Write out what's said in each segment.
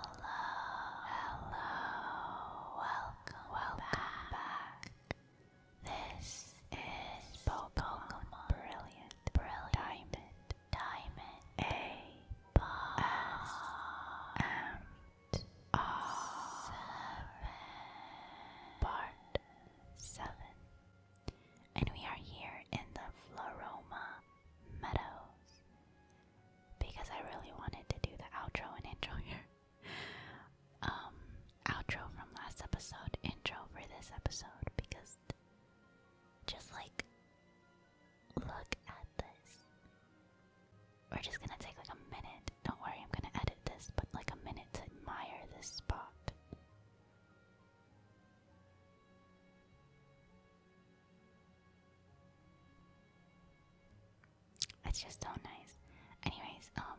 Hello, hello, welcome, welcome back. This is Pokemon Brilliant, Diamond, Diamond, A, Boss, are part seven. And we are here in the Floroma Meadows. Because I really wanted to do the outro and intro here. um, outro from last episode, intro for this episode, because just like look at this. We're just gonna take like a minute. Don't worry, I'm gonna edit this, but like a minute to admire this spot. It's just so nice. Anyways, um,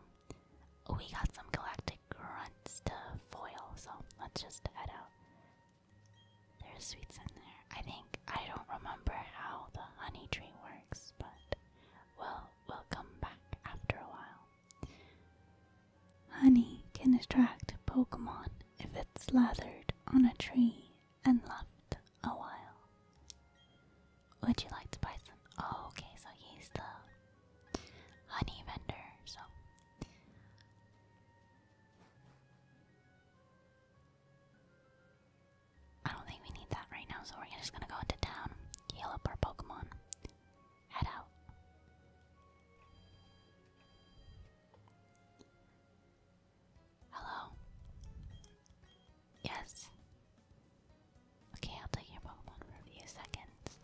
we got some galactic grunts to foil, so let's just head out. There's sweets in there. I think I don't remember how the honey tree works, but well, we'll come back after a while. Honey can attract Pokemon if it's lathered on a tree and left a while. Would you like to buy some? Oh, okay, so he's the honey vendor, so. I don't think we need that right now, so we're just gonna go into town, heal up our Pokemon, head out. Hello? Yes. Okay, I'll take your Pokemon for a few seconds.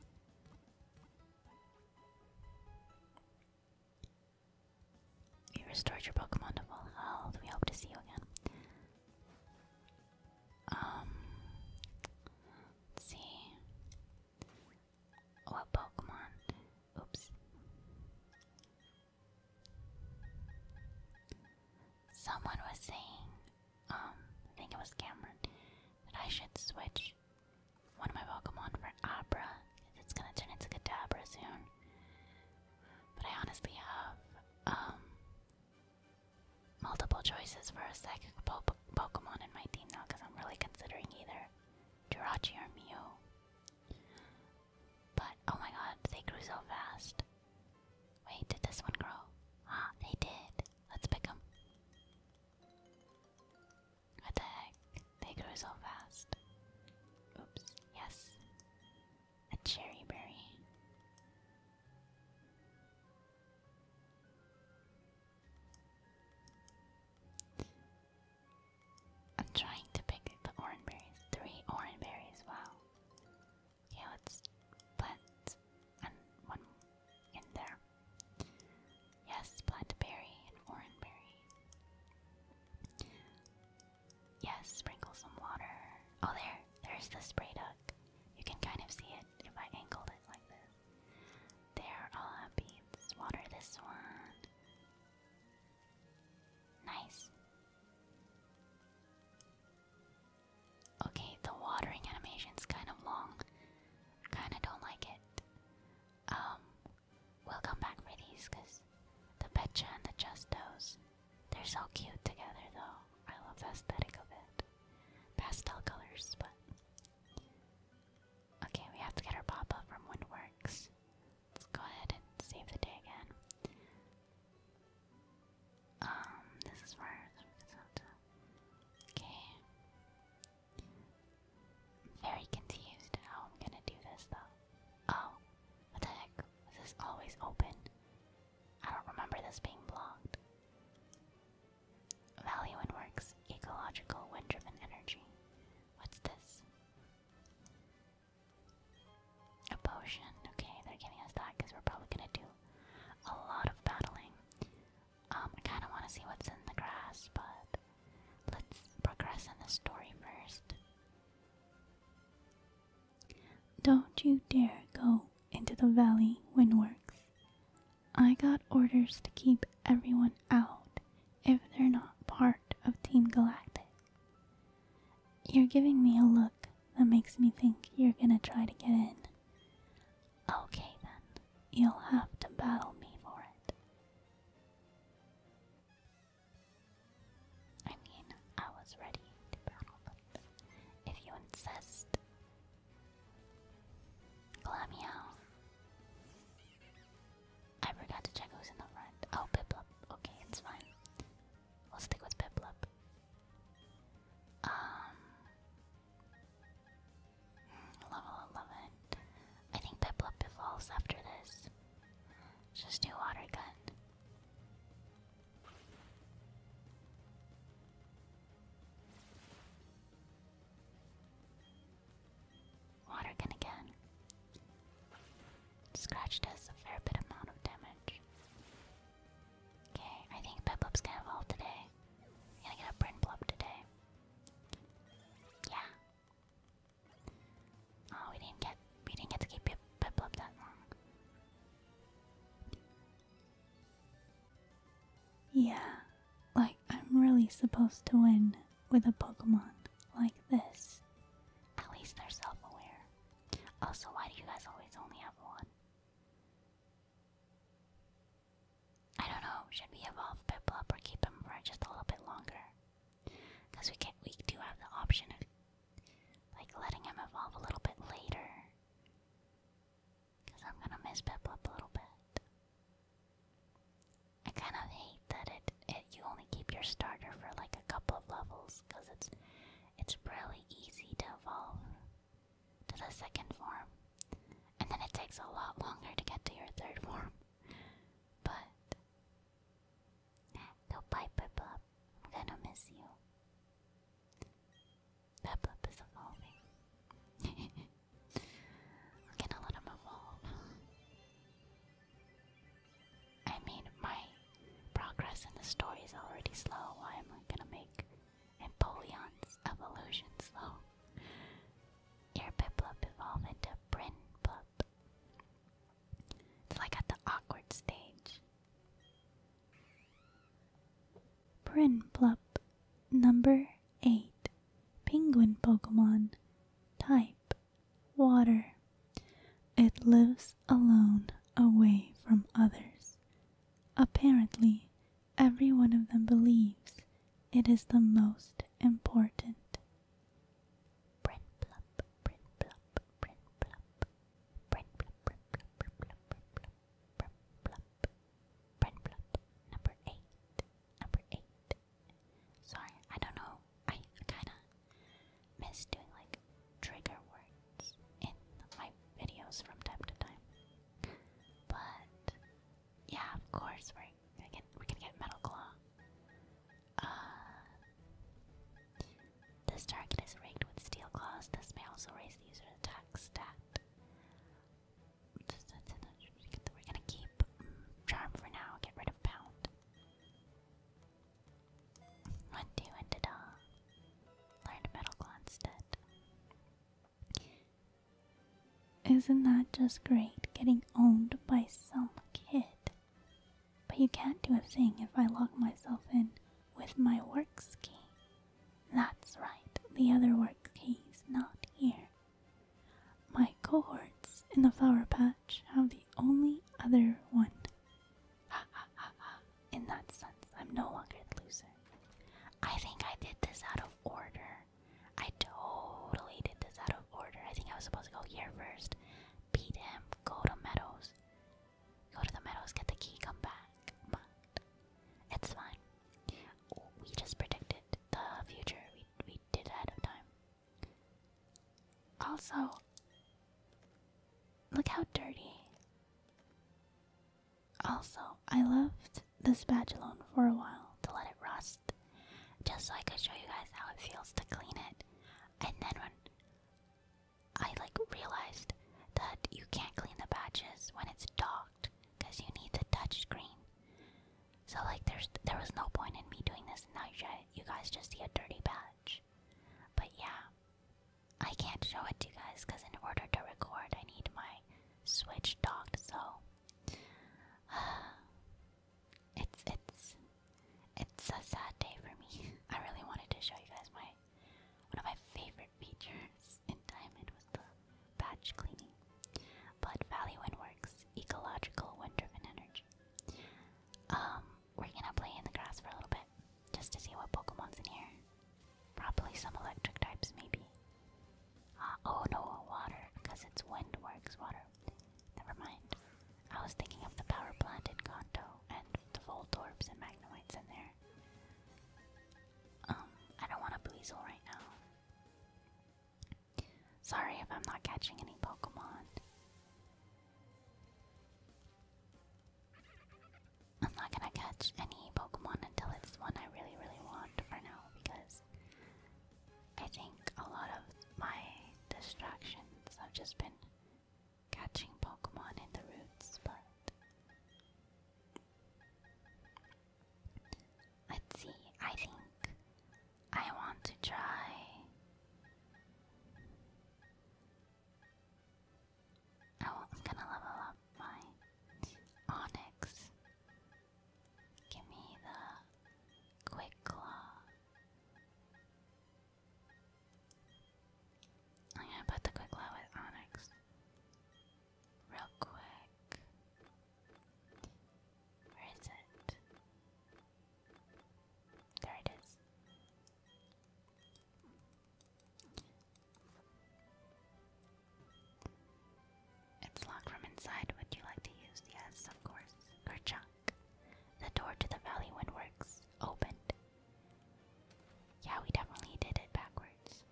You restored your Pokemon to full health. We hope to see you again. Um, see. What oh, Pokemon? Oops. Someone was saying, um, I think it was Cameron, that I should switch one of my Pokemon for Abra. It's gonna turn into Kadabra soon. But I honestly have um, multiple choices for a psychic Pokemon in my team now because I'm really considering either Jirachi or Mew. But oh my god, they grew so fast. Wait, did this one grow? Ah, they did. Let's pick them. What the heck? They grew so fast. Oops, yes a cherry berry. I'm trying to pick the orange berries. Three orange berries, wow. Yeah, let's plant and one in there. Yes, plant berry and orange berry. Yes, sprinkle some water. Oh, there, there's the spray duck. You can kind of see it if I angled it like this. There are beads. Water this one. Nice. Okay, the watering animation's kind of long. Kind of don't like it. Um, we'll come back for these because the Pecha and the Justos they're so cute together though. I love the aesthetic of it. Pastel colors, but Okay, we have to get our pop-up from Windworks. Let's go ahead and save the day again. Um, this is for Okay. I'm very confused how I'm gonna do this though. Oh, what the heck? Was this always open? I don't remember this being blocked. Value in works, ecological, wind driven energy. What's this? A potion. Okay, they're giving us that because we're probably gonna do a lot of battling. Um, I kinda wanna see what's in the grass, but let's progress in the story first. Don't you dare go into the valley windworks. I got orders to keep everyone out if they're not part of Team Galactic. You're giving me a look that makes me think you're gonna try to get in. Okay then, you'll have to battle me for it. I mean, I was ready to battle, but if you insist. Glamio. I forgot to check who's in the front. Oh, Piplup. Okay, it's fine. We'll stick with Piplup. Um, hmm, level 11. I think Piplup falls after this. Just do Water Gun. Water gun again. Scratched us a fair bit amount of damage. Okay, I think Peplop's gonna evolve today. gonna get a Brin today. Yeah. Oh, we didn't get we didn't get to keep Peplop that long. Yeah, like I'm really supposed to win with a Pokemon like this. At least they're self aware. Also, why do you guys always only have one? I don't know, should we evolve Piplup or keep him for just a little bit longer? Because we can't we do have the option of like letting him evolve a little bit later. Because I'm gonna miss Piplup a little bit. I kind of hate that it, it you only keep your starter for like a couple of levels because it's it's really easy to evolve to the second form. And then it takes a lot longer to get to your third form. But no Piper I'm gonna miss you. That is evolving. gonna let him evolve. I mean, my progress in the story is already slow. Why am I gonna make Empoleon's evolution slow? Your Piplup evolve into Brin it's like at the awkward stage. Prinplup number 8 Penguin Pokemon type water. It lives alone away from others. Apparently, every one of them believes it is the most important. Print plup, print plup, print plup, Brain Plump, number eight, number eight. Sorry, I don't know, I kinda miss doing like trigger words in my videos from time to time. But, yeah, of course, we're we're gonna get Metal Claw. This target is rigged with steel claws. This may also raise the user attack stat. We're gonna keep mm, charm for now. Get rid of pound. One, two, and ta-da! Learned metal claw instead. Isn't that just great? Getting owned by some kid. But you can't do a thing if I lock myself in with my work key. That's right, the other work key's not here. My cohorts in the flower patch have the only other one. Ha ha ha ha. In that sense, I'm no longer the loser. I think I did this out of order. I totally did this out of order. I think I was supposed to go here first, beat him, go to Meadows, Go to the meadows, get the key, come back. But it's fine. We just predicted the future. We we did ahead of time. Also, look how dirty. Also, I left this badge alone for a while to let it rust, just so I could show you guys how it feels to clean it. And then when I like realized that you can't clean the patches when it's docked because you need the touch screen. So like there's there was no point in me doing this now you guys just see a dirty patch. But yeah. I can't show it to you guys because in order to record I need my switch docked so it's it's it's a sad day for me. I really wanted to show you guys my one of my favorite features in Diamond was the batch cleaning, but Valley Wind works ecological wind driven energy. Um, we're gonna play in the grass for a little bit just to see what Pokemon's in here. Probably some electric types, maybe. Uh, oh no, water, because it's wind works water. Never mind. I was thinking of the power plant in Kanto and the Voltorbs and Magnoids in there. Um, I don't want a Buizel right now. Sorry if I'm not catching any Pokemon. I'm not gonna catch any Pokemon until it's one I really, really want for now because I think a lot of my distractions have just been catching Pokemon in the roots, spot. Let's see, I think I want to try. I want, to level up my Onyx. Give me the Quick Claw. Oh, I'm gonna put the quick glow with Onyx. Real quick. Where is it? There it is. It's locked from inside. Would you like to use? Yes, of course. Kerchunk. The door to the valley wind works opened yeah, we definitely did it backwards.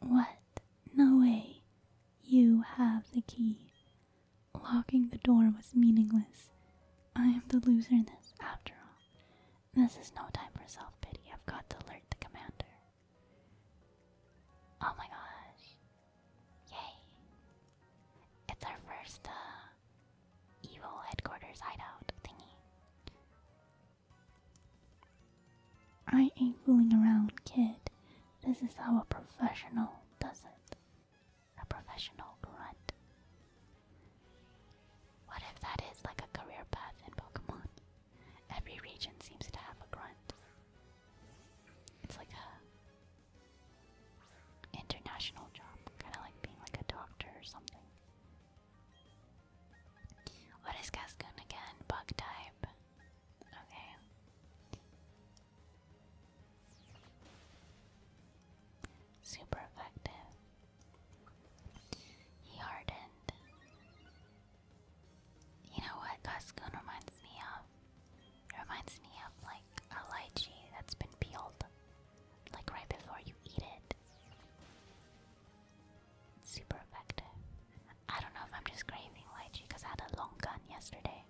What? No way. You have the key. Locking the door was meaningless. I am the loser in this, after all. This is no time for self pity. I've got to alert the commander. Oh my gosh. Yay. It's our first uh, evil headquarters hideout thingy. I ain't fooling around, kid. This is how a professional does it. A professional grunt. What if that is like a career path in Pokemon? Every region seems to have a grunt. It's like a international job, kind of like being like a doctor or something. What is Cascoon again? Bug type. Okay. Super effective. He hardened. You know what Cascoon reminds me of? reminds me of, like a lychee that's been peeled, like right before you eat it. Super effective. I don't know if I'm just craving lychee because I had a long gun yesterday.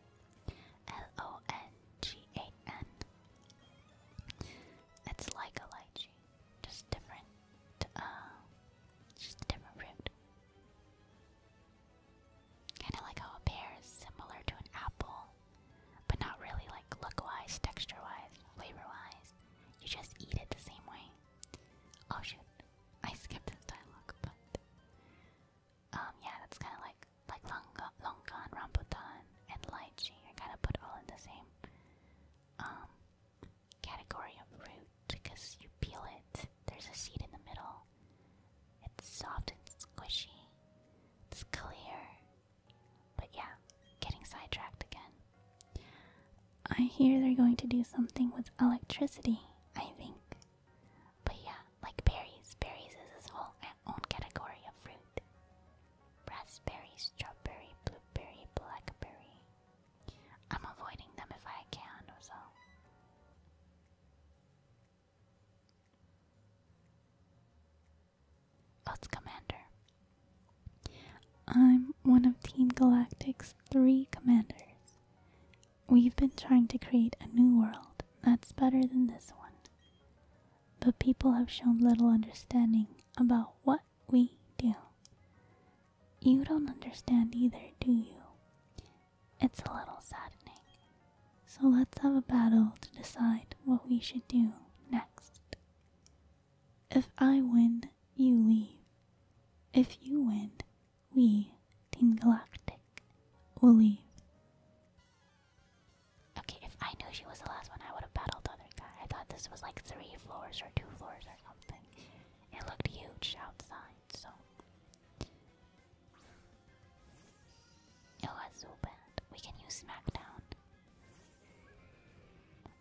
L O N G A N. It's like a lychee, just different. Uh, just a different fruit. Kind of like how a pear is similar to an apple, but not really like look wise, texture wise, flavor wise. You just eat it the same way. Oh shoot. I skipped this dialogue, but um, yeah, that's kinda like like longa longan, rambutan, and lychee. I kinda put all in the same um, category of fruit because you peel it, there's a seed in the middle. It's soft and squishy. It's clear, But yeah, getting sidetracked again. I hear they're going to do something with electricity, I think. But yeah, like berries. Berries is its whole own category of fruit. Raspberry, strawberry, blueberry, blackberry. I'm avoiding them if I can or so. What's Commander? I'm one of Team Galactic's three commanders. We've been trying to create a new world that's better than this one. But people have shown little understanding about what we do. You don't understand either, do you? It's a little saddening, so let's have a battle to decide what we should do next. If I win, you leave. If you win, we, Team Galactic, will leave. Okay, if I knew she was the last one, I would have battled the other guy. I thought this was like three floors or two floors or something. It looked huge outside, so. It was so bad. We can use Smackdown.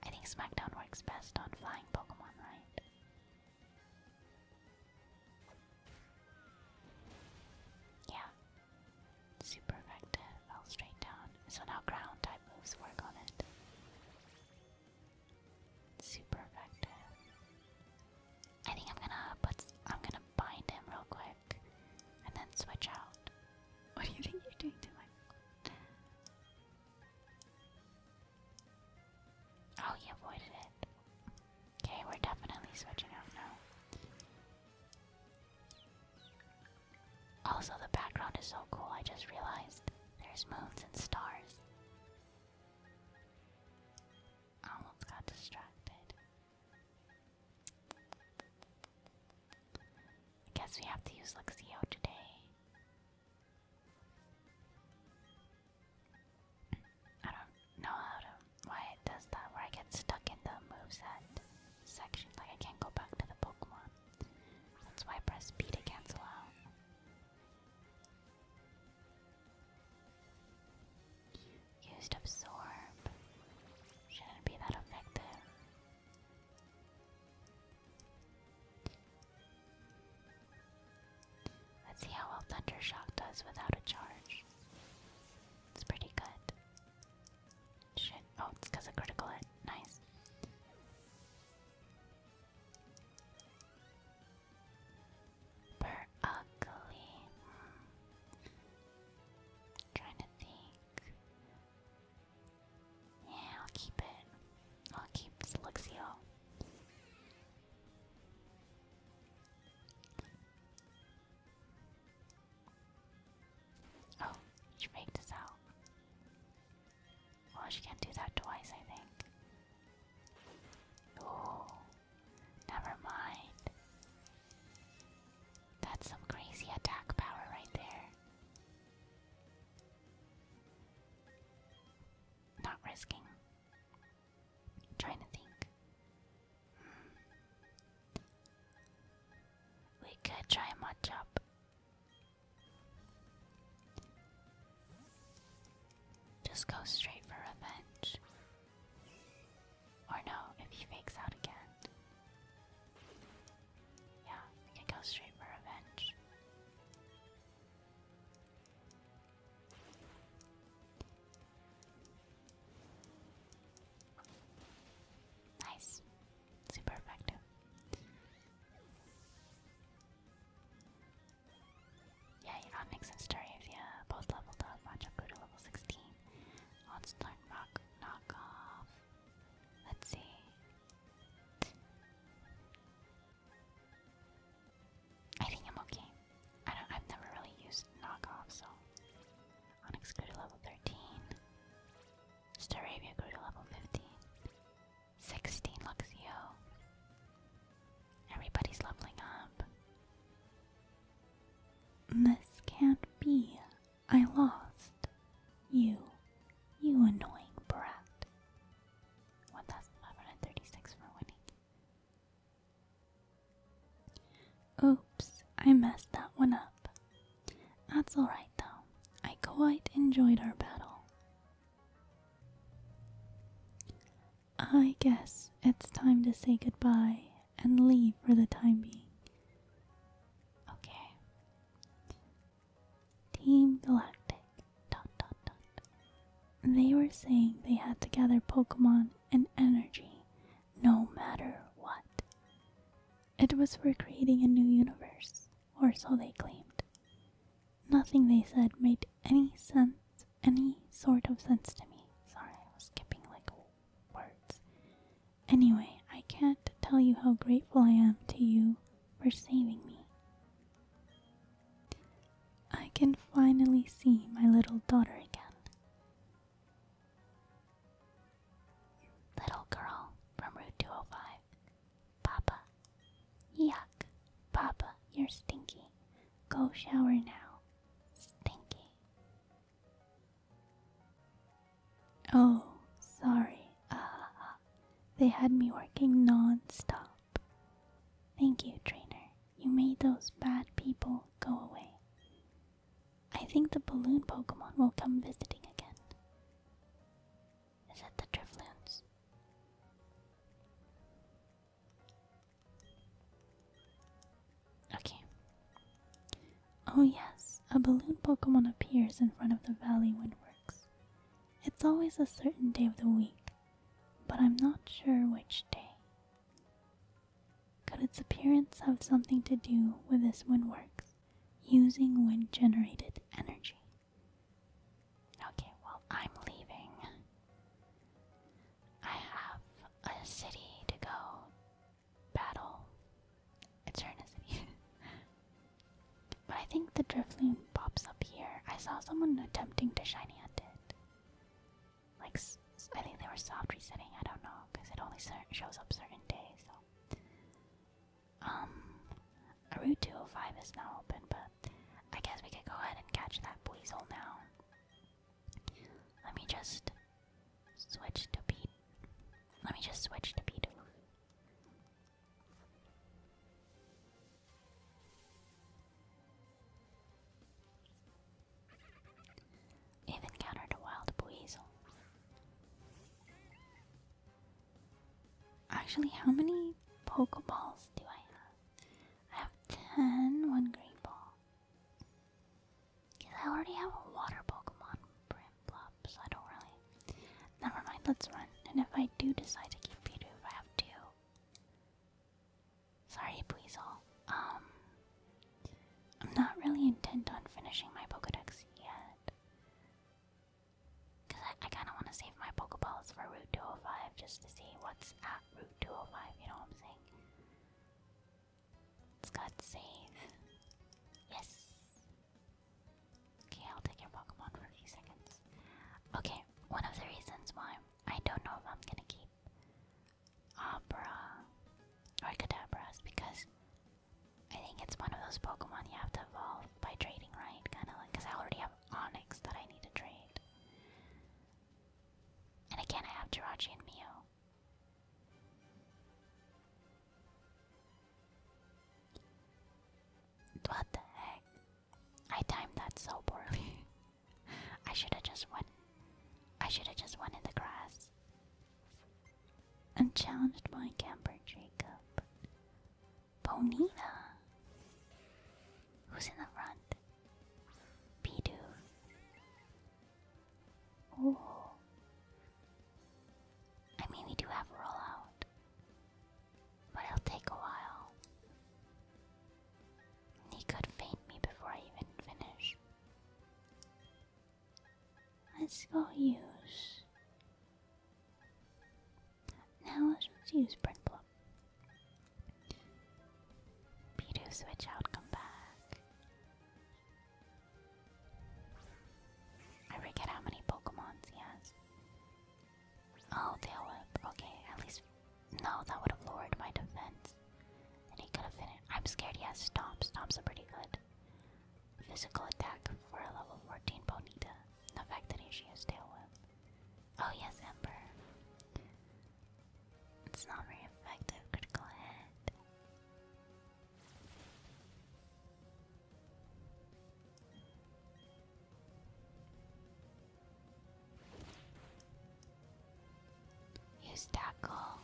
I think Smackdown works best on flying Pokemon, right? Yeah. Super effective. Fell straight down. So now ground type moves work on it. Super effective. I think I'm gonna put. I'm gonna bind him real quick and then switch out. What do you think you're doing to my Oh, you avoided it. Okay, we're definitely switching out now. Also, the background is so cool, I just realized there's moons and stars. I almost got distracted. I guess we have to use Luxio today. I don't know how to why it does that where I get stuck in the moveset section, like I can't go back to the Pokemon. That's why I press B to cancel out. Used absorb. Shouldn't be that effective. Let's see how well Thundershock does without a charge. It's pretty good. Shit. Oh, it's because of critical hit. Nice. we ugly. Hmm i trying to think. Yeah, I'll keep it. I'll keep Luxio. Oh, she faked us out. Well, oh, she can't do that twice, I think. Never mind. That's some crazy attack power right there. Not risking. trying to think. Hmm. We could try much up. Just go straight for revenge. Or no, if he fakes out again. Yeah, we can go straight for revenge. Nice. Super effective. Yeah, you know, it makes sense story if you both leveled up. Machakuta level 16. Let's learn rock knockoff. Let's see. I think I'm okay. I don't I've never really used knockoff, so Onyx level 13. Staravia grew to level 15. 16 Luxio. Everybody's leveling up. This can't be. I lost. You. You annoying brat. 1536 for winning. Oops, I messed that one up. That's alright though. I quite enjoyed our battle. I guess it's time to say goodbye and leave for the time being. Okay. Team Galactic. Dot, dot, dot. They were saying they had to gather Pokemon and energy no matter what. It was for creating a new universe, or so they claimed. Nothing they said made any sense, any sort of sense to me. Sorry, I was skipping like words. Anyway, I can't tell you how grateful I am to you for saving me. I can finally see my little daughter again. Little girl from Route 205. Papa. Yuck. Papa, you're stinky. Go shower now. Stinky. Oh, sorry. Uh, they had me working non stop. Thank you, trainer. You made those bad people go away. I think the balloon Pokemon will come visiting again. Is it the driftloons? Okay. Oh, yes, a balloon Pokemon appears in front of the Valley Windworks. It's always a certain day of the week, but I'm not sure which day. Could its appearance have something to do with this windworks using wind generated energy? Okay, well, I'm leaving. I have a city to go battle Eternity. but I think the Drifloon pops up here. I saw someone attempting to shiny hunt it. Like, I think they were soft resetting, I don't know, because it only shows up certain days, Um, Route 205 is now open, but I guess we could go ahead and catch that Weasel now. Let me just Switch to beat. Let me just switch to beat. Even countered a wild weasel. Actually, how many Pokeballs do I have? I have 10 one green ball. Because I already have a water Pokemon, Brimplop, so I don't really. Never mind, let's run. And if I do decide to keep Pidu, if I have to. Sorry, Buizel. Um, I'm not really intent on finishing my Pokedex yet. Because I kind of want to save my Pokeballs for Route 205 just to see what's at Route 205, you know what I'm saying? It's got save. Yes. Okay, I'll take your Pokemon for a seconds. Okay, one of the reasons why I don't know if I'm gonna keep Abra or Kadabra is because I think it's one of those Pokemon you have to evolve by trading, right? Kind of like, because I already have Onyx that I need to trade. And again, I have Jirachi and Mew. What the heck? I timed that so poorly. I should have just went. I should have just went in the grass and challenged my camper, Jacob. Bonita, who's in the front? Pidu. Oh. I mean, we do have rollout, but it'll take a while. He could faint me before I even finish. Let's go use. Now let's just use Printplum. P2 switch out, come back. I forget how many Pokemons he has. Oh, Tailwhip. Okay, at least. No, that would have lowered my defense. And he could have finished. I'm scared he has Stomp. Stomps are pretty good. Physical attack for a level 14 Bonita. The fact that she Tail Tailwhip. Oh, yes, Ember. It's not very effective, critical hit. Use tackle.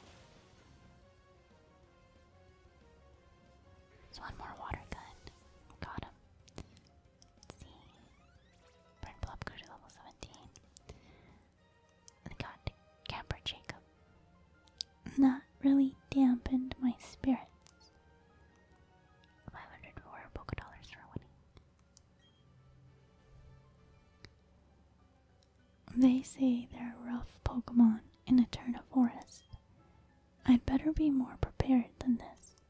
There's one more water gun. Got him. see. Burn Blob to level 17 got Capper Jacob. That really dampened my spirits. 500 more for winning. They say they're rough Pokemon in a turn of Forest. I'd better be more prepared than this.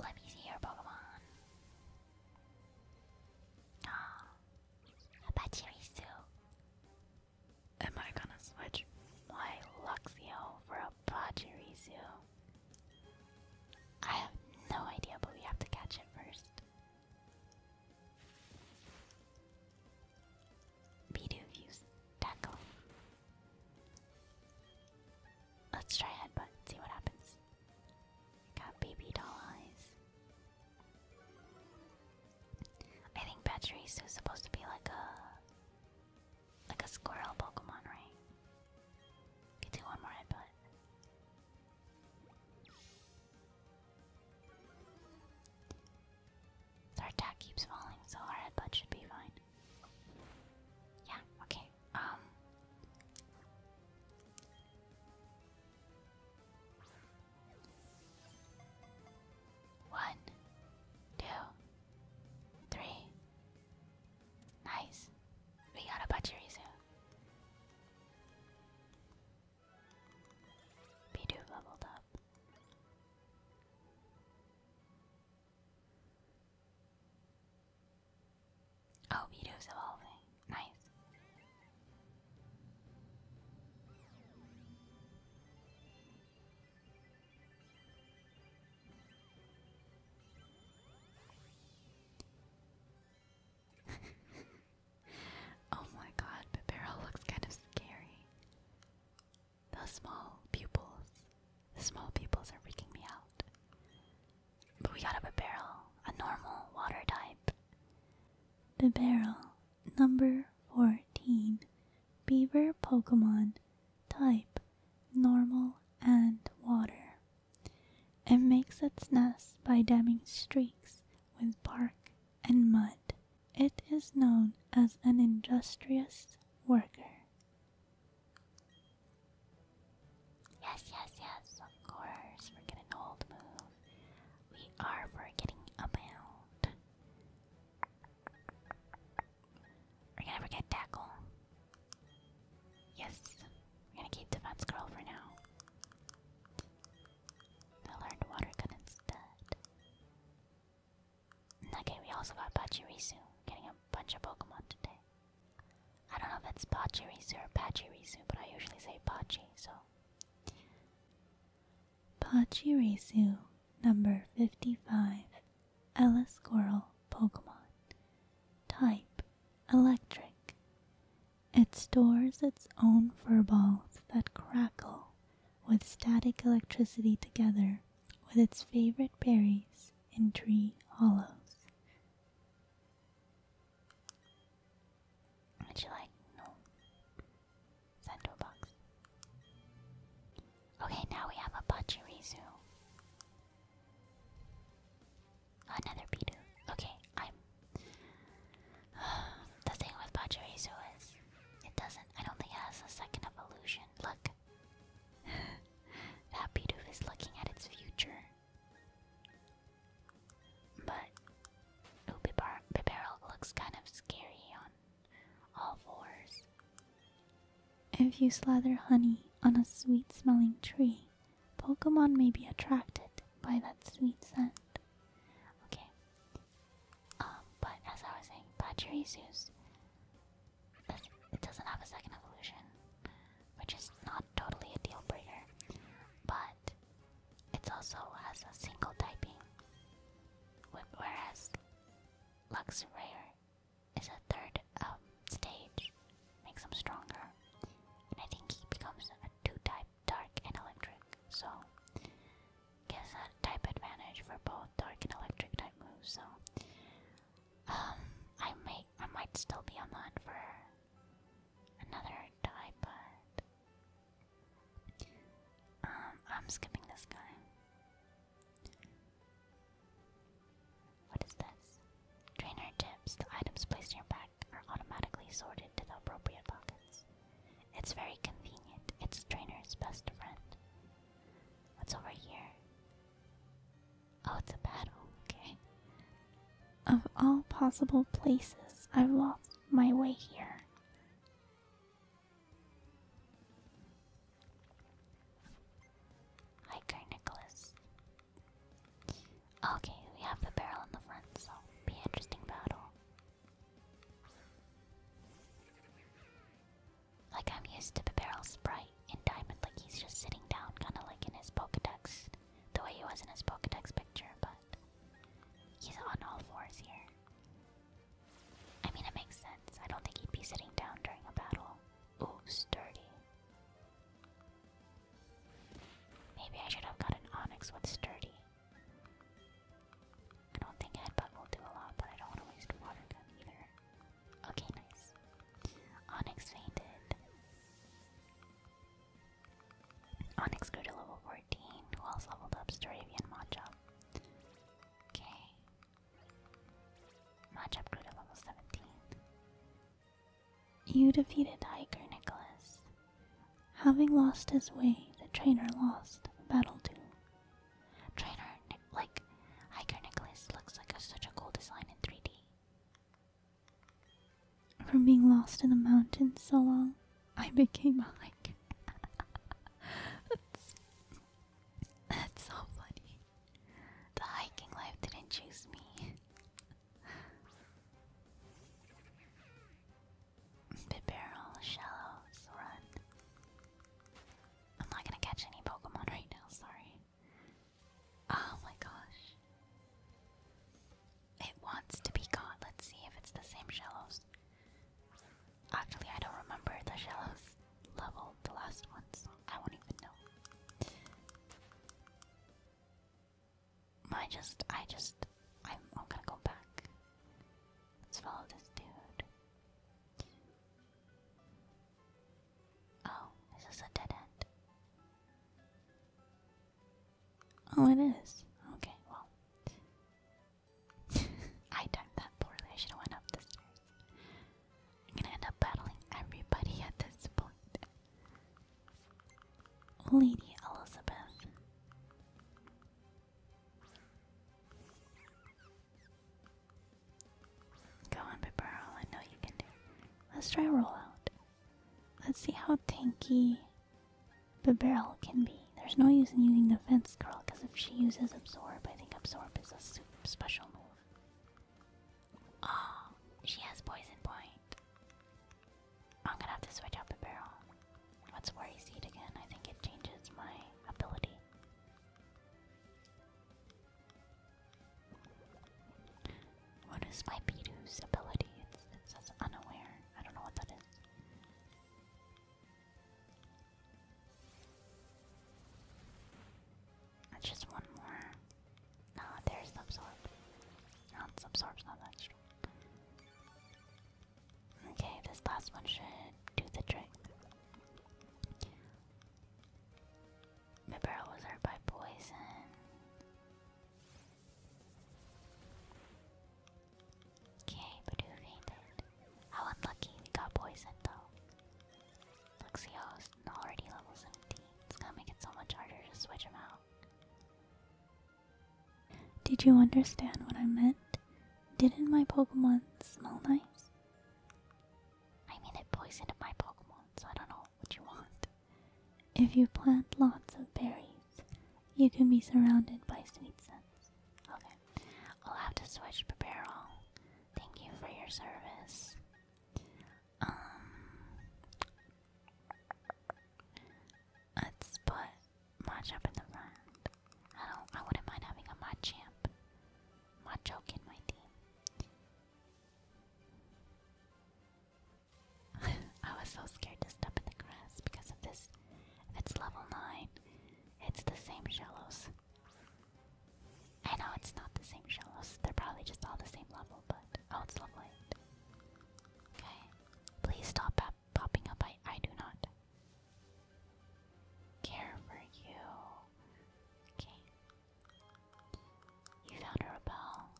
Let me see your Pokemon. Ah, how about Am I gonna switch my Luxio for a Pachirisu? I have no idea, but we have to catch it first. Bidu views tackle. Let's try headbutt, see what happens. Got baby doll eyes. I think Pachirisu is supposed to be like a like a squirrel Pokemon, right? Could one more headbutt. Our attack keeps falling, so our headbutt should be fine. Yeah, okay. Um one, two, three. Nice. We got a Pachirisu. Bidoof leveled up. Oh, Vito's evolving. Nice. oh my god, but Barrel looks kind of scary. The small pupils. The small pupils are freaking me out. But we got up a barrel, a normal water type. The barrel, number 14. Beaver Pokemon, type normal and water. It makes its nest by damming streams with bark and mud. It is known as an industrious worker. Yes, yes, yes, of course. We're getting old move. We are forgetting about. We're gonna forget tackle. Yes. We're gonna keep defense girl for now. I learned water gun instead. Okay, we also got Pachirisu. Getting a bunch of Pokemon today. I don't know if it's Pachirisu or Pachirisu, but I usually say Pachi, so Pachirisu number 55 Ella Squirrel Pokemon Type Electric It stores its own fur balls that crackle with static electricity together with its favorite berries in tree hollows. Would you like? No. Send to a box. Okay, now we have a Pachirisu. Another Pidu. Okay, I'm. the thing with Pachirisu is, it doesn't. I don't think has a second evolution. Look. that Pidu is looking at its future. But ooh, Bibar looks kind of scary on all fours. If you slather honey on a sweet smelling tree, Pokemon may be attracted by that sweet scent. Okay. Um, but as I was saying, Pachirisus, it doesn't have a second evolution, which is not totally a deal breaker. But it also has a single typing, whereas Luxrare is a third um, stage, makes him stronger, and I think he becomes a two-type dark and electric, so gives a type advantage for both dark and electric type moves. So um, I may I might still be on the hunt for Another Diepud. Um, I'm skipping this guy. What is this? Trainer tips. The items placed in your bag are automatically sorted to the appropriate pockets. It's very convenient. It's trainer's best friend. What's over here? Oh, it's a battle. Okay. Of all possible places, I've lost my way here. Hi, Nicholas. Okay, we have the barrel in the front, so be interesting battle. Like I'm used to the barrel sprite in Diamond, like he's just sitting down, kind of like in his Pokedex, the way he was in his Pokedex picture, but He's on all fours here. I mean, it makes sense. I don't think he'd be sitting down during a battle. Ooh, sturdy. Maybe I should have got an onyx with sturdy. I don't think headbutt will do a lot, but I don't want to waste water gun either. Okay, nice. Onyx fainted. Onyx grew to level 14. Who else leveled up? Sturavian Machop. Okay. Machop grew to level 17. You defeated Hiker, Nicholas. Having lost his way, the trainer lost battle to Trainer, Nick, like, Hiker Nicholas looks like such a cool design in 3D. From being lost in the mountains so long, I became a hiker. that's, so funny. The hiking life didn't choose me. Bibarrel, shallows, run. I'm not gonna catch any Pokemon right now, sorry. Oh my gosh. It wants to be caught. Let's see if it's the same shallows. Actually, I don't remember the shallows level, the last one, I won't even know. I just, I just, I'm, I'm gonna go back. Let's follow this dude. Oh, is a dead end? Oh, it is. Okay, well. I timed that poorly. I should have went up the stairs. I'm gonna end up battling everybody at this point. Lady Elizabeth. Go on, Piparo. I know you can do it. Let's try roll out. Let's see how tanky the barrel can be. There's no use in using the fence girl because if she uses absorb, I think absorb is a super special move. Oh, she has poison point. I'm gonna have to switch out the barrel. What's worry seed again? I think it changes my ability. What is my Pidu's ability? It's, it says unaware. I don't know what that is. That's just one more. No, there's the absorb. No, it's absorb's not that strong. Okay, this last one should do the trick. My barrel was hurt by poison. Okay, Badoo fainted. How unlucky got poisoned though. Luxio's already level 17. It's gonna make it so much harder to switch him out. Did you understand what I meant? Didn't my Pokemon smell nice? I mean, it poisoned my Pokemon, so I don't know what you want. If you plant lots of berries, you can be surrounded by sweet scents. Okay, I'll have to switch Barrel. Thank you for your service. Um, let's put Machamp in the front. I don't. I wouldn't mind having a Machamp, Machoke in my team. I was so scared to step in the grass because of this. it's level 9, it's the same shallows. I know it's not the same shallows, they're probably just all the same level, but. Oh, it's lovely. Okay. Please stop popping up. I, I do not care for you. Okay. You found a repel.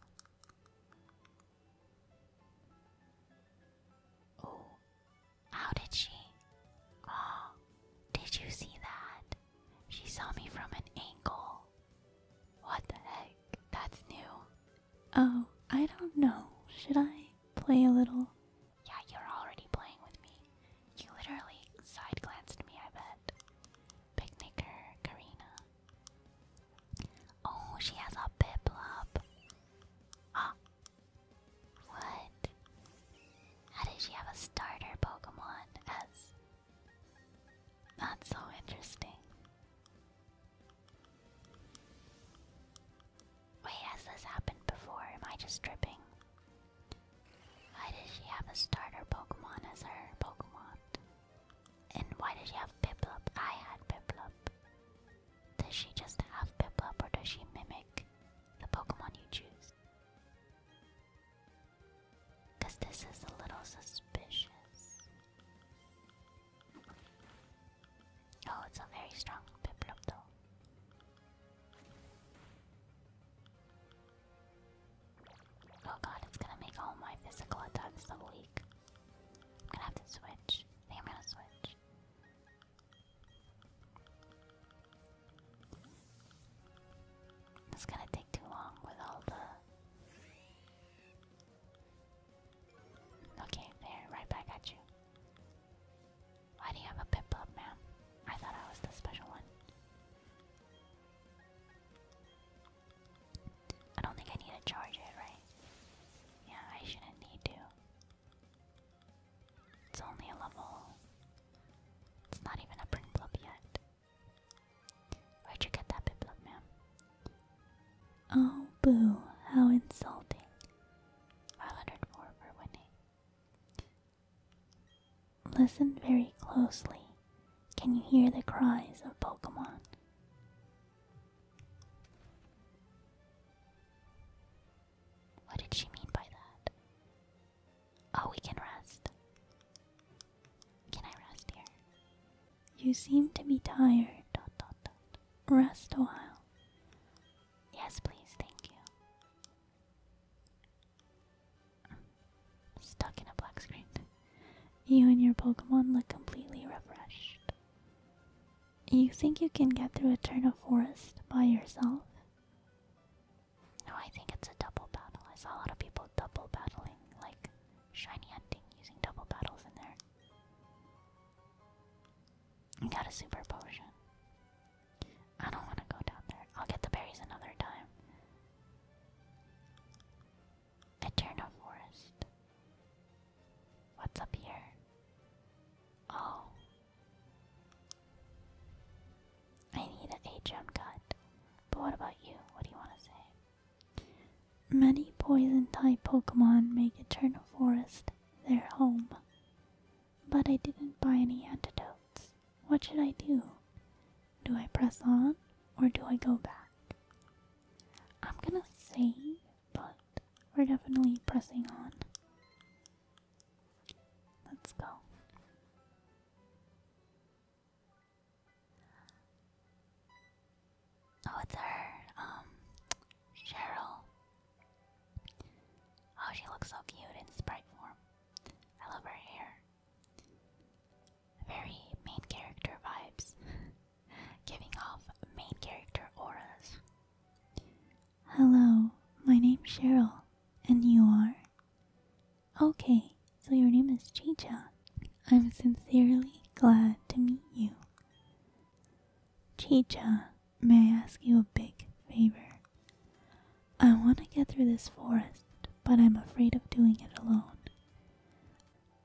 Oh, how did she? Oh, did you see that? She saw me from an angle. What the heck? That's new. Oh, I don't know. Should I play a little? Yeah, you're already playing with me. You literally side glanced me, I bet. Picnicker, Karina. Oh, she has a Piplup. Ah. What? How did she have a starter Pokemon as that's so interesting. Wait, has this happened before? Am I just tripping? Why does she have a starter Pokemon as her Pokemon? And why did she have Piplup? I had Piplup. Does she just have Piplup or does she mimic the Pokemon you choose? Because this is a little suspicious. Oh, it's a very strong Piplup though. Oh god, it's gonna make all my physical attacks so weak. I'm gonna have to switch. I am gonna switch. It's gonna take too long with all the. Okay, there, right back at you. Why do you have a pip up, ma'am? I thought I was the special one. I don't think I need to charge it, right? Yeah, I shouldn't need to. It's only a level. It's not even a print blob yet. Where'd you get that bit blob, ma'am? Oh, boo, how insulting. 504 for winning. Listen very closely. Can you hear the cries of Pokemon? What did she mean by that? Oh, we can rest. Can I rest here? You seem to be tired. Dot, dot, dot. Rest a while. Yes, please, thank you. stuck in a black screen. You and your Pokemon look completely refreshed. You think you can get through a turn of forest by yourself? No, I think it's a double battle. I saw a lot of people double battling, like shiny hunting using double battles in there. You got a super potion. I don't want to go down there. I'll get the berries another time. Eternal Forest. What's up here? Oh. I need an HM cut. But what about you? What do you want to say? Many poison type Pokemon make Eternal Forest their home. But I didn't buy any antidotes. What should I do? Do I press on or do I go back? I'm gonna say, but we're definitely pressing on. Let's go. Oh, it's her, um, Cheryl. Oh, she looks so cute in sprite form. I love her hair. Very main character vibes. giving off main character auras. Hello, my name's Cheryl, and you are? Okay, so your name is Chicha. I'm sincerely glad to meet you. Chicha, may I ask you a big favor? I want to get through this forest, but I'm afraid of doing it alone.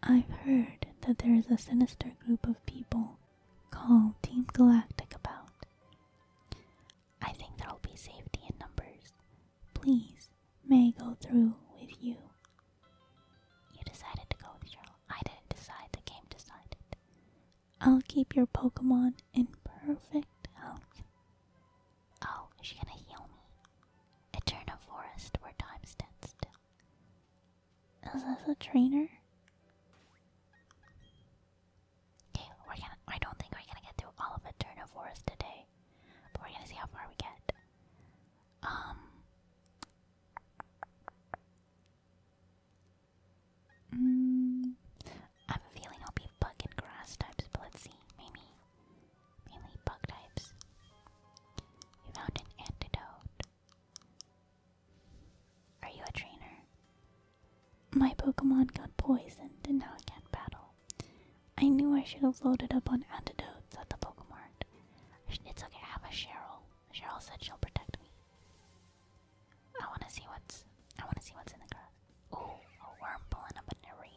I've heard that there is a sinister group of people called Team Galactic about. I think there'll be safety in numbers. Please, may go through with you? You decided to go with I didn't decide, the game decided. I'll keep your Pokemon in perfect health. Oh, is she gonna heal me? Eternal Forest where time stands still. Is this a trainer? Okay, we're gonna. I don't think we're gonna get through all of Eternophorus today, but we're gonna see how far we get. Um. Mm, I have a feeling I'll be bug and grass types, but let's see. Maybe mainly bug types. We found an antidote. Are you a trainer? My Pokemon got poisoned and now it can't battle. I knew I should have loaded up on antidotes at the Pokemart. It's okay, I have a Cheryl. Cheryl said she'll protect me. I wanna see what's I wanna see what's in the grass. Ooh, a worm pulling a banana.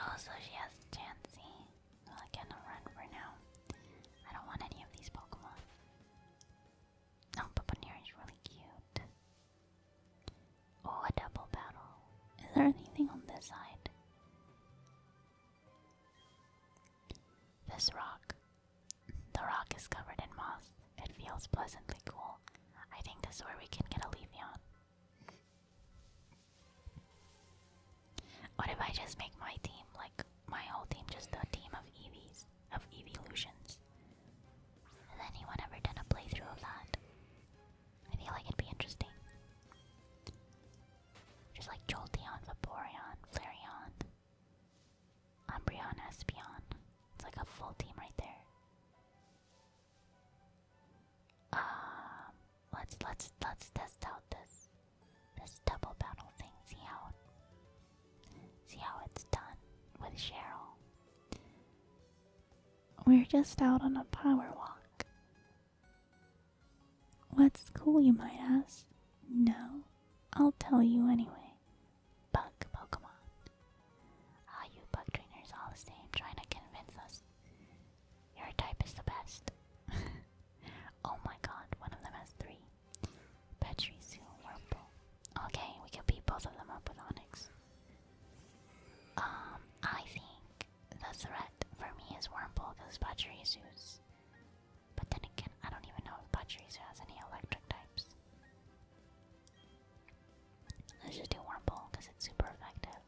Oh, she has Chansey. Well, I cannot run for now. I don't want any of these Pokemon. oh, Papanera is really cute. Oh, a double battle. Is there anything on this side? This rock. The rock is covered in moss. It feels pleasantly cool. I think this is where we can get a Leafeon. What if I just make my team, like, my whole team just a team of EVs, of Evolutions? Has anyone ever done a playthrough of that? I feel like it'd be interesting. Just like Jolteon, Vaporeon, Flareon, Umbreon, Espeon. It's like a full team right there. Um, let's let's let's test out this this double battle thing. See how see how it's done with Cheryl. We're just out on a power walk. What's cool, you might ask? No, I'll tell you anyway. Bug Pokemon. Ah, you bug trainers all the same, trying to convince us your type is the best. oh my god, one of them has three. Petrisu, Wurmple. Okay, we can beat both of them up with Onyx. Um, I think the threat for me is Wurmple because Pachirisu's. But then again, I don't even know if Pachirisu has any electric types. Let's just do Wurmple because it's super effective.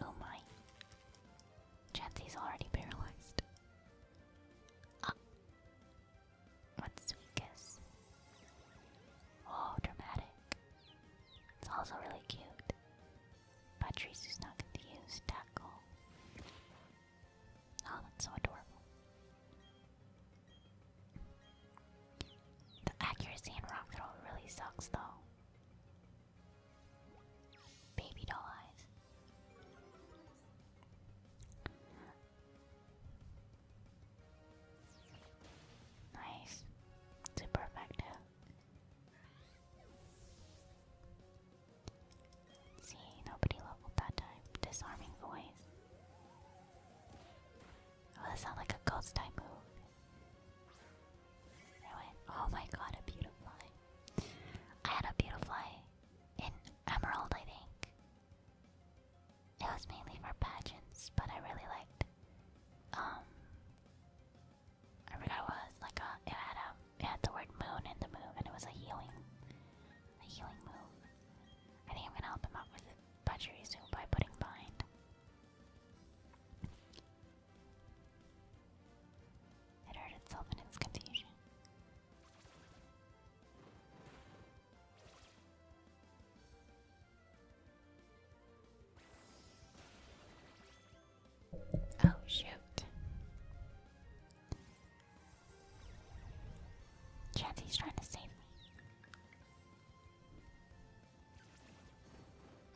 Oh my. Chansey's already paralyzed. Ah. Sweet Kiss? Oh, dramatic. It's also really cute. But Trisu's not going Tackle. Oh, that's so adorable. The accuracy in rock throw really sucks though. Baby doll eyes. Nice. Super effective. See, nobody leveled that time. Disarming voice. Oh, that sounds like a ghost type moved. I went, oh my god, a beautifly. I had a beautifly in Emerald, I think. It was mainly for pageants, but I really liked um I forgot what it was like a it had a it had the word moon in the move and it was a healing a healing move. I think I'm gonna help him out with the soon by putting bind. It hurt itself in its confusion. Oh, shoot. Chansey's trying to save me.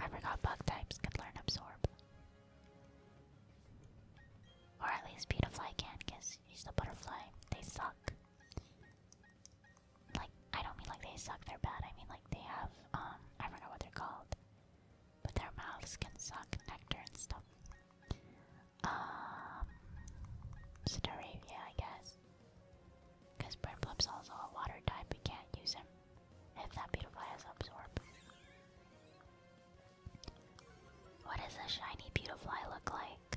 I forgot bug types could learn absorb. Or at least Petafly can, because he's the butterfly. They suck. Like, I don't mean like they suck, they're bad. I mean like they have, um, I forgot what they're called. But their mouths can suck nectar and stuff. Um, Staravia, I guess. Because Burnblip's also a water type, we can't use him if that Beautifly has Absorb. What does a shiny Beautifly look like?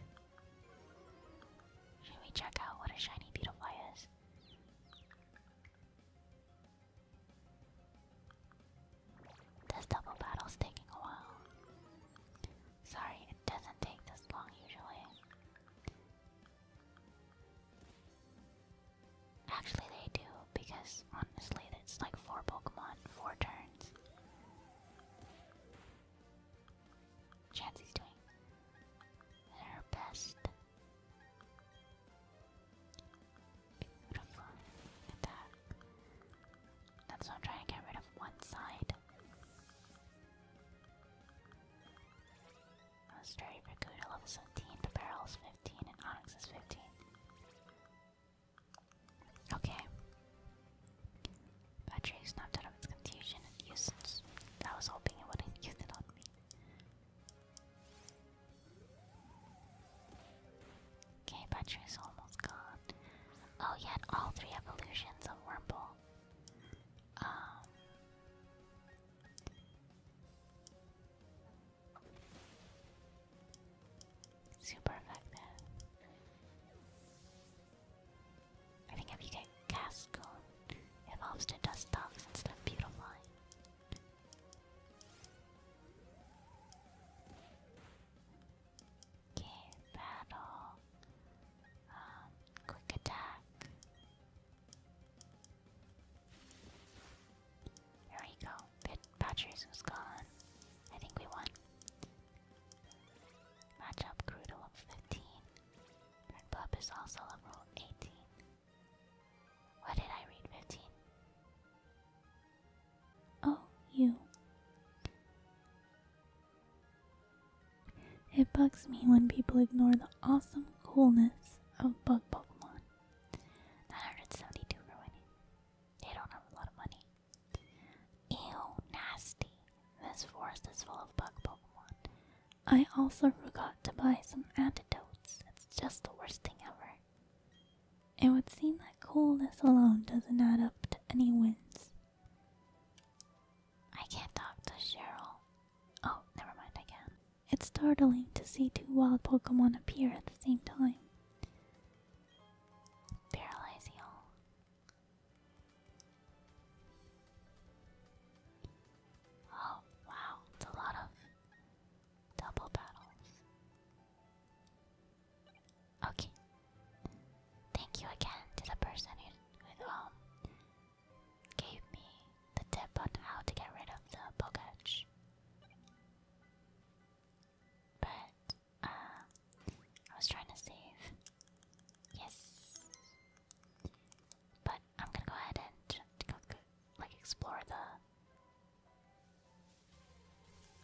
Should we check out what a shiny Beautifly is? This double battle's taking a while. Sorry, it doesn't take this long usually. Actually, they do, because honestly, that's like four Pokemon, four turns. Chansey's doing her best. Beautiful. Attack. That's why I'm trying to get rid of one side. Monastery for Gouda level 17, the barrel is 15, and Onyx is 15. Okay. Patrick snapped out of its confusion and nuisance. I was hoping it wouldn't use it on me. Okay, Patrick's almost gone. Oh, he all three evolutions of Wurmple. Um, Super effective. I think if you get cast evolves to dust instead of beautifying. Okay, battle. Um, quick attack. There you go. Pit was gone. I think we won. Matchup crew to 15. Red is also level 18. What did I read 15? Oh, you. It bugs me when people ignore the awesome coolness of bug Pokemon. 972 for winning. They don't have a lot of money. Ew, nasty. This forest is full of bug Pokemon. I also forgot to buy some antidotes. It's just the worst thing ever. It would seem that coolness alone doesn't add up to any wins. I can't talk to Cheryl. Oh, never mind, I can. It's startling to see two wild Pokemon appear at the same time. Paralyze all Oh, wow, it's a lot of double battles. Okay. Thank you again to the person who um gave me the tip on how to get rid of the Poketch. But, um, I was trying to save. Yes. But I'm gonna go ahead and, like, explore the...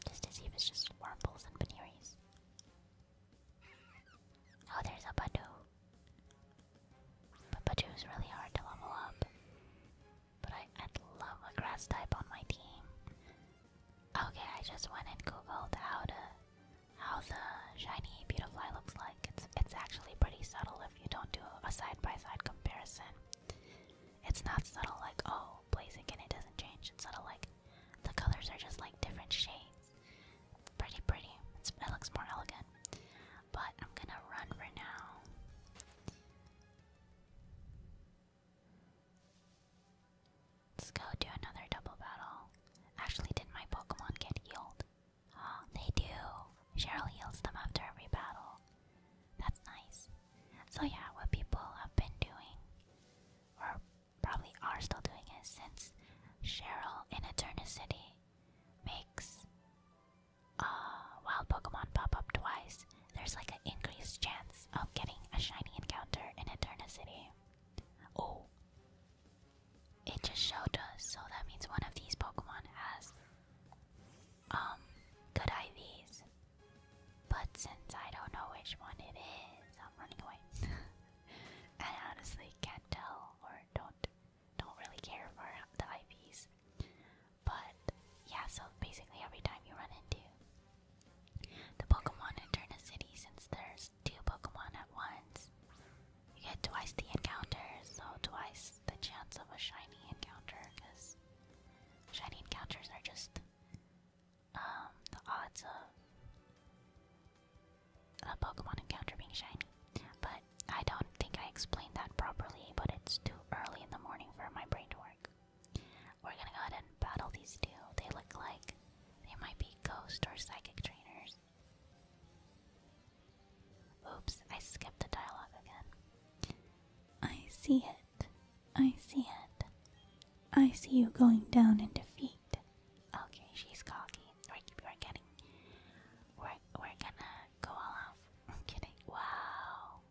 Just to see if it's just wormholes and Paneeries. Oh, there's a Badoo. But it was really hard to level up. But I, i love a grass type on my team. Okay, I just went and googled how to how the shiny Beautifly looks like. It's it's actually pretty subtle if you don't do a side by side comparison. It's not subtle like oh blazing, and it doesn't change. It's subtle like the colors are just like different shades. Pretty pretty. it looks more elegant but I'm gonna run for now. Let's go do another double battle. Actually, did my Pokemon get healed? Oh, they do. Cheryl heals them after every battle. That's nice. So yeah, what people have been doing, or probably are still doing, is since Cheryl in Eternicity makes a uh, wild Pokemon pop up twice, there's like an increased chance of getting a shiny encounter in Eterna City. Oh, it just showed us, so that means one of these Pokemon has um good IVs. But since I don't know which one it is, I'm running away. I honestly can't tell or don't don't really care for the IVs. But yeah, so basically every time you run into the Pokemon in Turna City, since there's two Pokemon at once, you get twice the encounter, so twice the chance of a shiny encounter, because shiny encounters are just um, the odds of a Pokemon encounter being shiny. But I don't think I explained that properly, but it's too early in the morning for my brain to work. We're gonna go ahead and battle these two. They look like they might be ghost or psychic trainers. Oops, I skipped the dialogue again. I see it. I see it. I see you going down in defeat. Okay, she's cocky we're, we're getting, we're, we're gonna go all off. I'm kidding. Wow.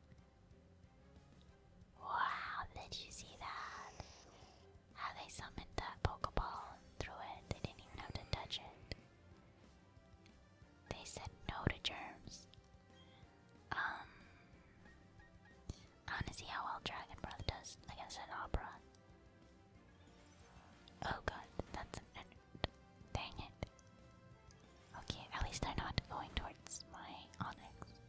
Wow, did you see that? How they summoned that Pokeball through it. They didn't even have to touch it. They said no to germs. Um, I wanna see how well Dragon Breath does against an Opera. Oh god, that's an end. Dang it. Okay, at least I'm not going towards my Onyx.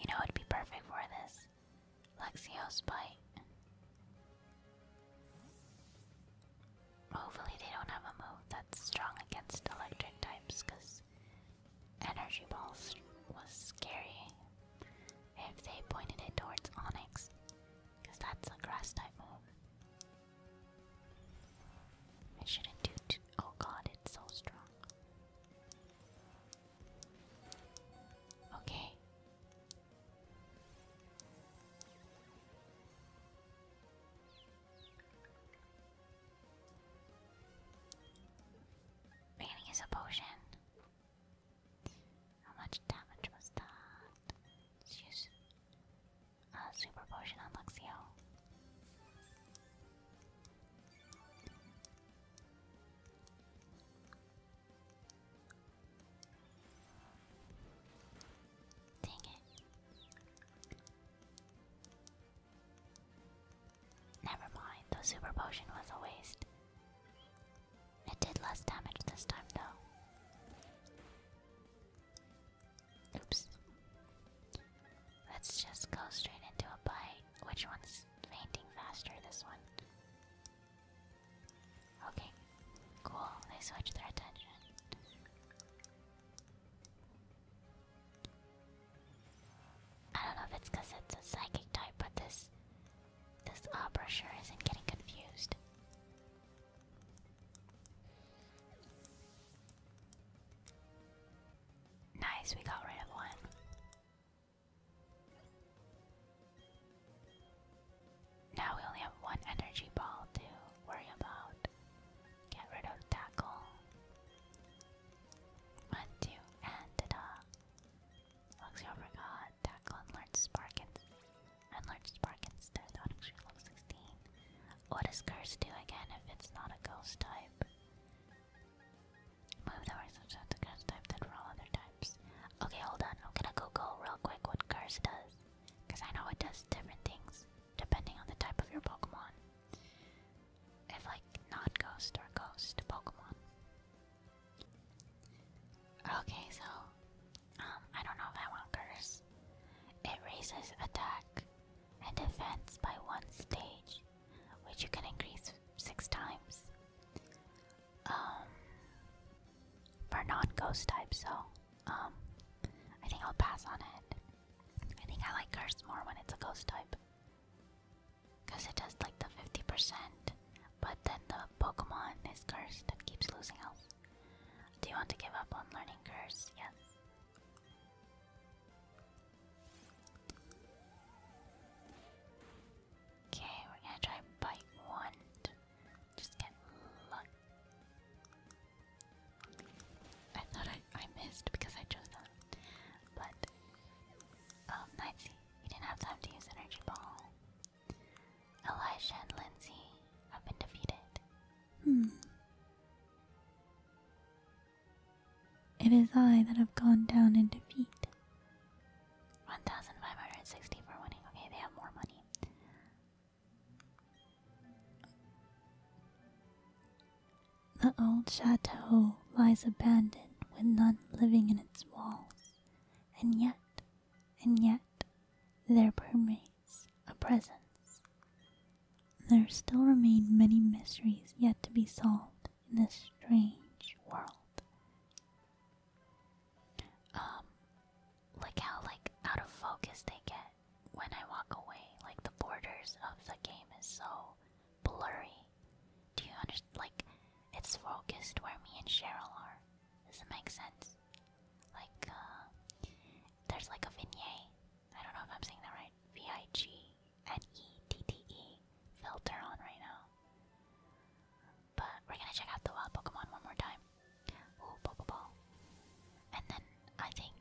You know it'd be perfect for this. Lexio's bite. Hopefully, they don't have a move that's strong against electric types because Energy Balls was scary if they pointed it towards Onyx because that's a grass type move. It shouldn't do Oh god, it's so strong. Okay, Raining is a potion. How much damage was that? Let's use a super potion on Luxio. Dang it. Never mind, the super potion was a waste. It did less damage this time, though. Oops. Let's just go straight into a bite. Which one's fainting faster? This one. Okay, cool. They switch their attention. I don't know if it's it's a psychic type, but this this opera isn't getting confused. Nice, we got rid of one. Now we only have one energy ball to worry about. Get rid of tackle. One, two, and ta-da! Luxio forgot tackle and large spark and, instead on level 16. What does curse do again if it's not a ghost type? Move the works of the curse type than for all other types. Okay, hold on. I'm gonna Google real quick what curse does. Because I know it does different things depending on the type of your Pokemon. If, like, not ghost or ghost Pokemon. Okay, so, um, I don't know if I want Curse. It raises attack and defense by one stage, which you can increase six times. Um, for non ghost type, so um, I think I'll pass on it. I think I like Curse more when it's a ghost type. Because it does like the 50%, but then the Pokemon is cursed that keeps losing health. Do you want to give up on learning Curse? Yes. Okay, we're gonna try Bite Wand. Just get luck. I thought I, I missed because I chose that. But, um, Nightsy, you didn't have time to use Energy Ball. Elisha and Lindsay have been defeated. Hmm. It is I that have gone down in defeat. 1560 for winning. Okay, they have more money. The old chateau lies abandoned with none living in its walls, and yet, and yet, there permeates a presence. There still remain many mysteries yet to be solved in this strange world. Um, look how like out of focus they get when I walk away. Like the borders of the game is so blurry. Do you understand? Like it's focused where me and Cheryl are. Does it make sense? Like uh, there's like a vignette. I don't know if I'm saying that right. V I G N E T T E filter on right now. But we're gonna check out the wild Pokemon one more time. Ooh, bubble ball. And then I think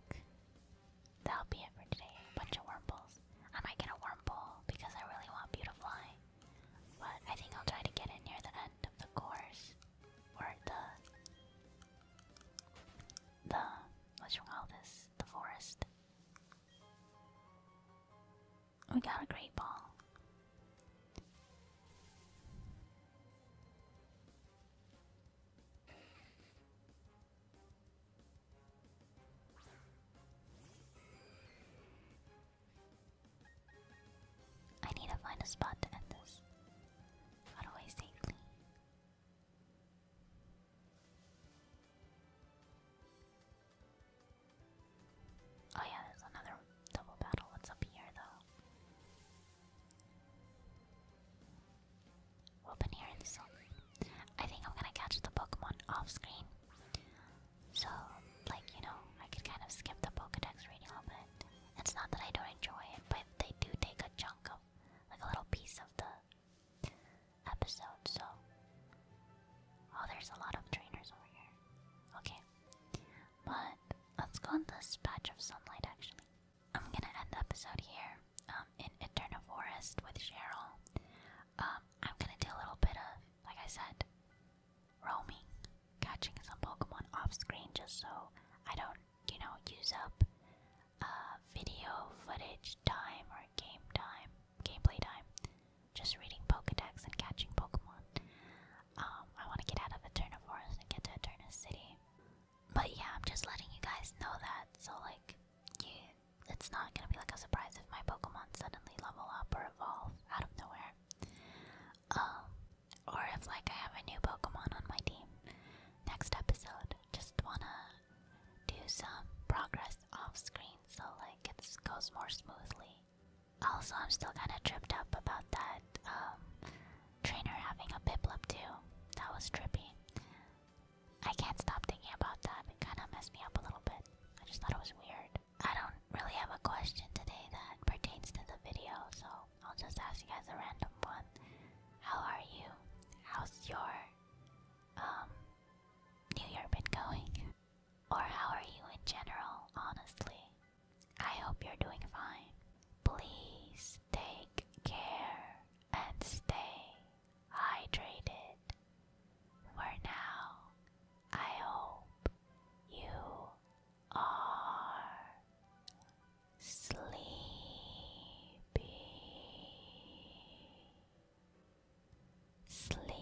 that'll be it for today. A bunch of wormholes. I might get a wormhole because I really want Beautifly. But I think I'll try to get it near the end of the course. Or the the what you call this? The forest. We got a great ball. I need to find a spot to end this. Got away safely. Oh yeah, there's another double battle. What's up here though? we here I think I'm gonna catch the Pokemon off screen. So, like, you know, I could kind of skip the Pokedex reading a little bit. It's not that I don't enjoy it, but they do take a chunk of, like, a little piece of the episode, so. Oh, there's a lot of trainers over here. Okay. But let's go on this patch of sunlight actually. I'm gonna end the episode here um, in Eternal Forest with Cheryl. Um, I'm gonna do a little bit of, like I said, roaming, catching some Pokemon off screen just so I don't, you know, use up uh, video footage time or game time, gameplay time, just reading Pokedex and catching Pokemon. Um, I want to get out of Eterna and get to Eterna City. But yeah, I'm just letting you guys know that. So like, it's not gonna be like a surprise if my Pokemon suddenly level up or evolve out of nowhere. Um, or if like I have a new Pokemon on my team. Next episode, just wanna do some progress off screen so like it goes more smoothly. Also, I'm still kind of tripped up about that um, trainer having a Piplup too. That was trippy. I can't stop thinking about that. It kind of messed me up a little bit. I just thought it was weird. I don't really have a question today that pertains to the video, so I'll just ask you guys a random one. How are you? How's your um, New Year been going? Or how are you in general, honestly? I hope you're doing fine. Please take care and stay hydrated. For now, I hope you are sleepy. Sleepy.